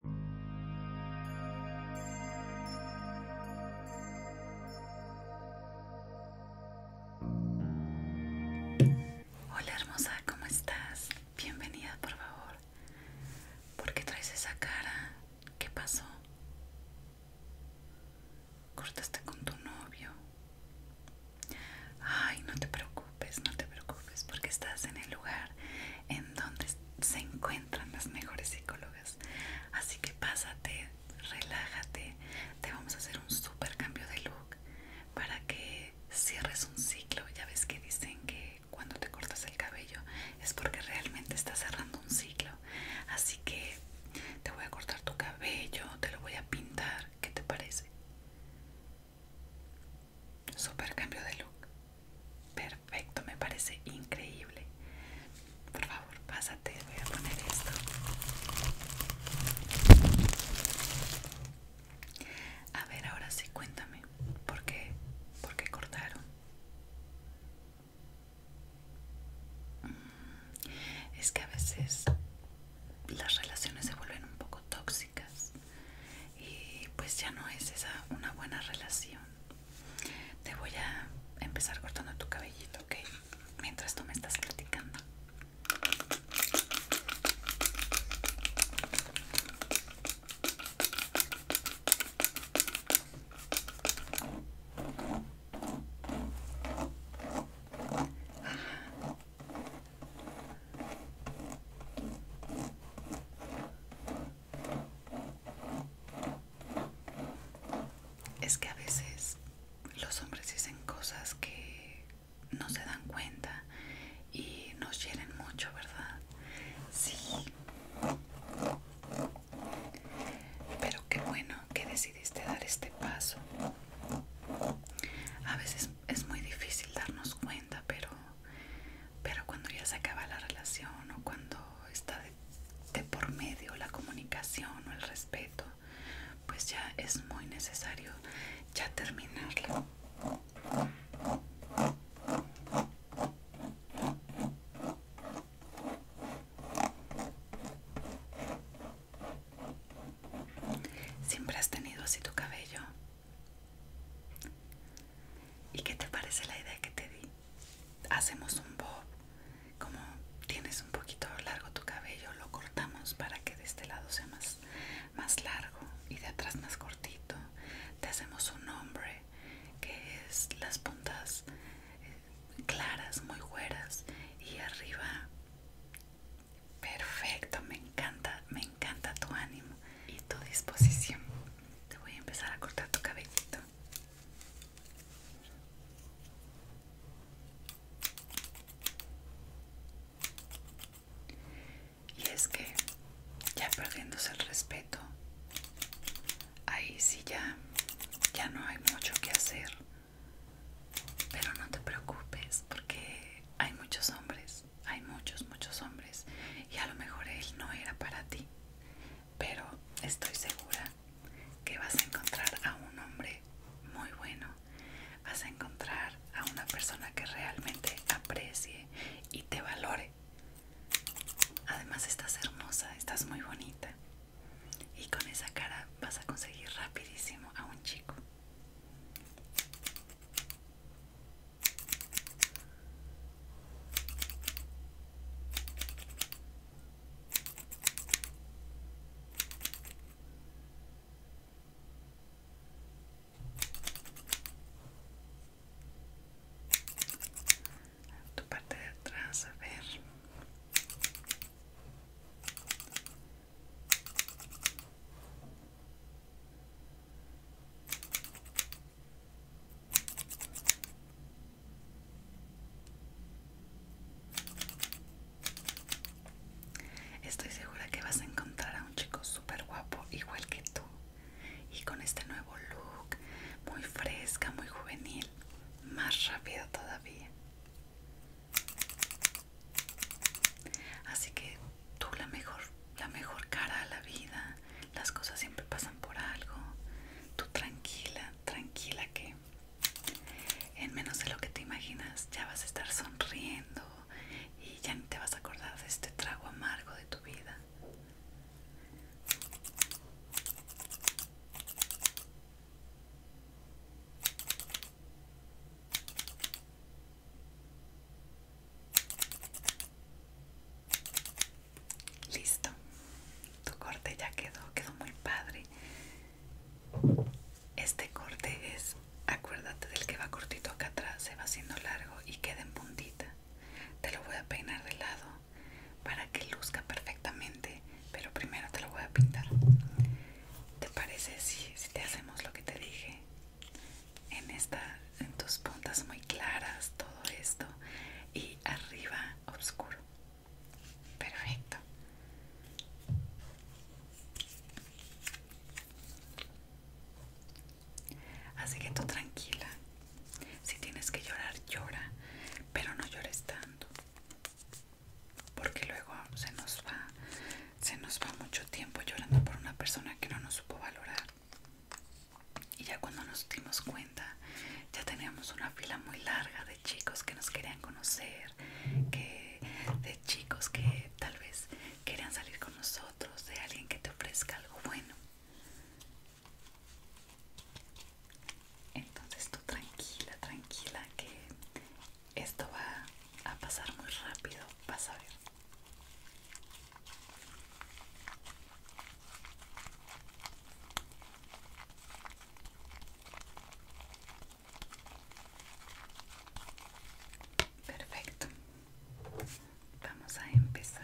Hola hermosa, ¿cómo estás? Bienvenida, por favor. ¿Por qué traes esa cara? ¿Qué pasó? ¿Cortaste con tu novio? Ay, no te preocupes, no te preocupes. Es porque estás en el lugar en donde se encuentran las mejores psicólogas. Así que pásate, relájate, te vamos a hacer un super cambio de look para que cierres un ciclo. Ya ves que dicen que cuando te cortas el cabello es porque realmente estás cerrando un ciclo. Así que te voy a cortar tu cabello, te lo voy a pintar. ¿Qué te parece? Super cambio de look. Perfecto, me parece increíble. Por favor, pásate, voy a poner esto. A ver, ahora sí, cuéntame. ¿Por qué? ¿Por qué cortaron? Mm, es que a veces las relaciones se vuelven un poco tóxicas y pues ya no es esa una buena relación. Te voy a empezar cortando tu cabellito, que Mientras tú me estás platicando es que a veces los hombres dicen cosas que no se dan cuenta y nos hieren mucho, ¿verdad? Sí. Pero qué bueno que decidiste dar este paso. A veces es muy difícil darnos cuenta, pero pero cuando ya se acaba la relación o cuando está de, por medio la comunicación o el respeto, pues ya es muy necesario ya terminarla. ¿Siempre has tenido así tu cabello? ¿Y qué te parece la idea que te di? Hacemos un bob, como tienes un poquito largo tu cabello, lo cortamos para que de este lado sea más, largo y de atrás más cortito. Te hacemos un hombre que es las puntas eh, claras, muy güeras y arriba. Perfecto, me encanta, me encanta tu ánimo y tu disposición. Te voy a empezar a cortar tu cabellito. Y es que ya perdiéndose el respeto, ahí sí ya, ya no hay mucho que hacer. Pero no te preocupes porque hay muchos hombres hay muchos, muchos hombres y a lo mejor él no era para ti, pero estoy segura que vas a encontrar a un hombre muy bueno, vas a encontrar a una persona que realmente aprecie y te valore. Además estás hermosa, estás muy bonita y con esa cara vas a conseguir rapidísimo a un chico tu parte de atrás a ver Estoy segura que vas a encontrar a un chico súper guapo, igual que tú, y con este nuevo look, muy fresca, muy juvenil, más rápido todavía. Así que tú la mejor, la mejor cara a la vida, las cosas siempre pasan por algo, tú tranquila, tranquila que en menos de lo que te imaginas ya vas a estar sonriendo y ya ni te vas a acordar de este trago amargo de tu vida. Listo, tu corte ya quedó, quedó muy padre. Este corte es, acuérdate del que va cortito acá atrás, se va haciendo largo y queda en puntita. Te lo voy a peinar de lado para que luzca perfectamente, pero primero te lo voy a pintar. ¿Te parece si, si te hacemos lo que te dije? en esta en tus puntas muy claras todo esto y arriba oscuro perfecto así que tú tranquila si tienes que llorar llora pero no llores tanto porque luego se nos va se nos va mucho tiempo llorando por una persona que no nos supo valorar y ya cuando nos dimos cuenta, ya teníamos una fila muy larga de chicos que nos querían conocer, de chicos que tal vez querían salir con nosotros, de alguien que te ofrezca algo bueno. Entonces tú tranquila, tranquila, que esto va a pasar muy rápido, vas a ver. Perfecto. Vamos a empezar.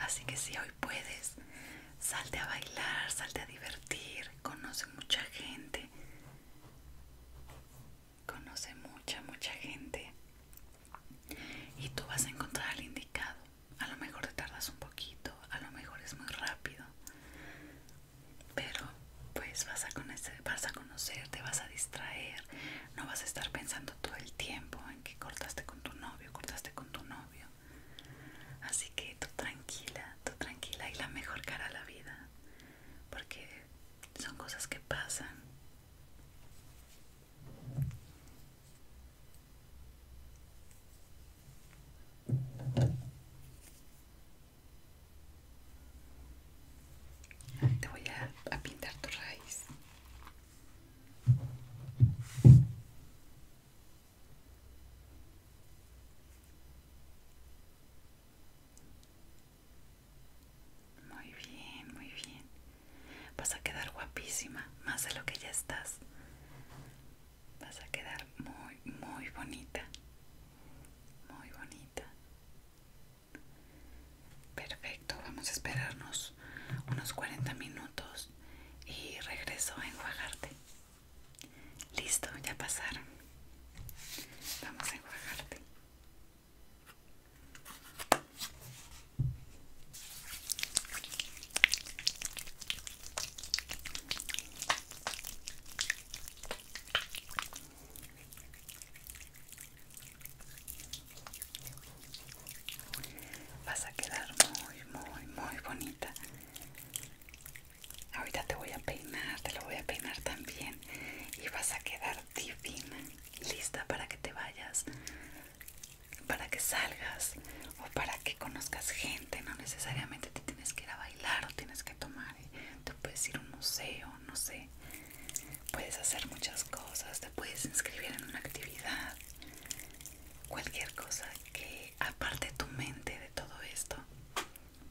Así que si hoy puedes, salte a bailar, salte a divertir, conoce mucha gente. Conoce mucha, mucha gente. Y tú vas a encontrar al indicado a lo mejor te tardas un poquito, a lo mejor es muy rápido, pero pues vas a, conocer, vas a conocer, te vas a distraer, no vas a estar pensando todo el tiempo en que cortaste con tu novio, cortaste con tu novio. Así que tú tranquila, tú tranquila y la mejor cara a la vida, porque son cosas que pasan. Te voy a, pintar tu raíz. Muy bien, muy bien. Vas a quedar guapísima, más de lo que ya estás. Vas a quedar muy, muy bonita. Muy bonita. Perfecto, vamos a esperarnos unos 40 minutos y regreso a enjuagarte. Listo, ya pasaron. Vamos a enjuagarte. Vas a quedar muy, muy, muy bonita. Ahorita te voy a peinar, te lo voy a peinar también y vas a quedar divina, lista para que te vayas para que salgas o para que conozcas gente, no necesariamente te tienes que ir a bailar o tienes que tomar, eh, te puedes ir a un museo, no sé, puedes hacer muchas cosas, te puedes inscribir en una actividad, cualquier cosa que aparte tu mente de todo esto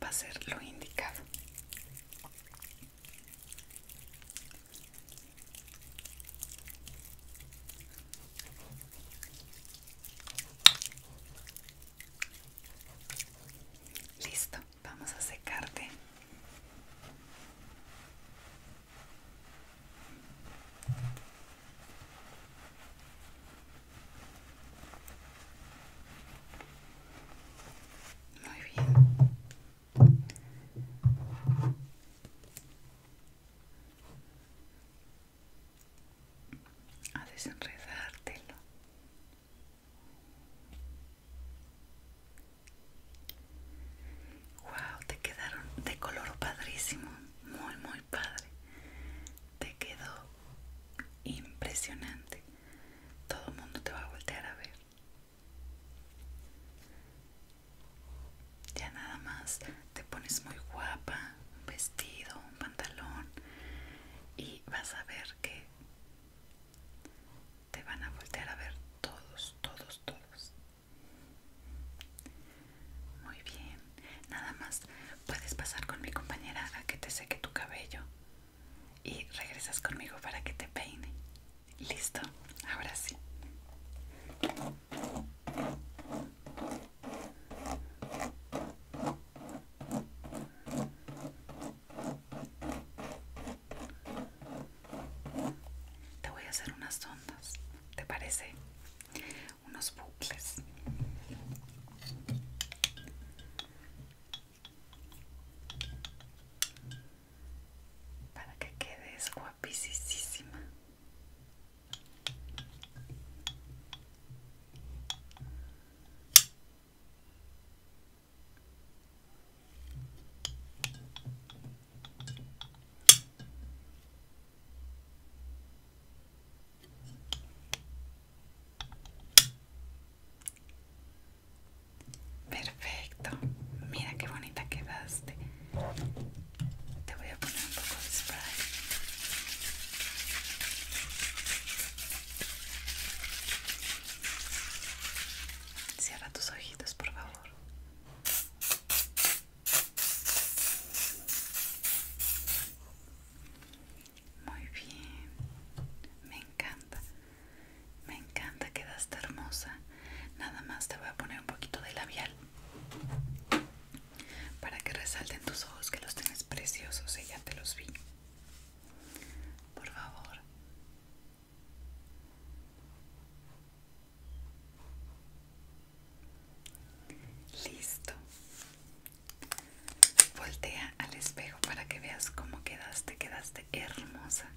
va a ser lo indicado. Listo, vamos a secarte. Muy bien a desenredártelo wow te quedaron de color padrísimo muy muy padre te quedó impresionante todo el mundo te va a voltear a ver ya nada más te pones muy guapa, un vestido, un pantalón y vas a ver que te van a voltear a ver todos, todos, todos. Muy bien, nada más puedes pasar con mi compañera a que te seque tu cabello y regresas conmigo para que te peine. Listo, ahora sí. Te voy a hacer unas ondas, ¿te parece? Unos bucles. Para que quedes suave guapísima. Perfecto, mira qué bonita quedaste. Te voy a poner un poco de spray. Cierra tus ojitos, por favor. Muy bien. Me encanta. Me encanta, quedaste hermosa nada más te voy a poner un poquito de labial para que resalten tus ojos que los tienes preciosos y eh, ya te los vi por favor listo voltea al espejo para que veas cómo quedaste quedaste hermosa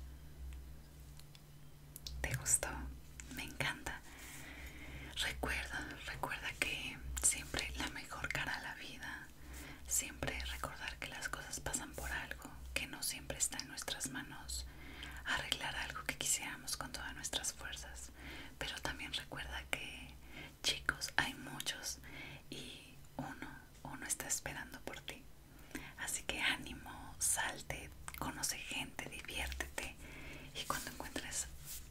¿Te gustó? Me encanta. Recuerda, recuerda que siempre la mejor cara a la vida, siempre recordar que las cosas pasan por algo, que no siempre está en nuestras manos arreglar algo que quisiéramos con todas nuestras fuerzas. Pero también recuerda que, chicos, hay muchos y uno, uno está esperando por ti. Así que ánimo, salte, conoce gente, diviértete y cuando encuentres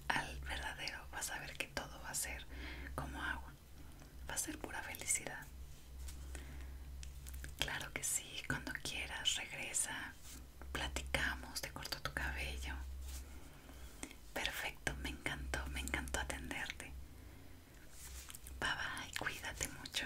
al verdadero vas a ver que todo va a ser como agua, va a ser pura felicidad. Claro que sí, cuando quieras regresa, platicamos, te corto tu cabello. Perfecto, me encantó, me encantó atenderte. Bye bye, cuídate mucho.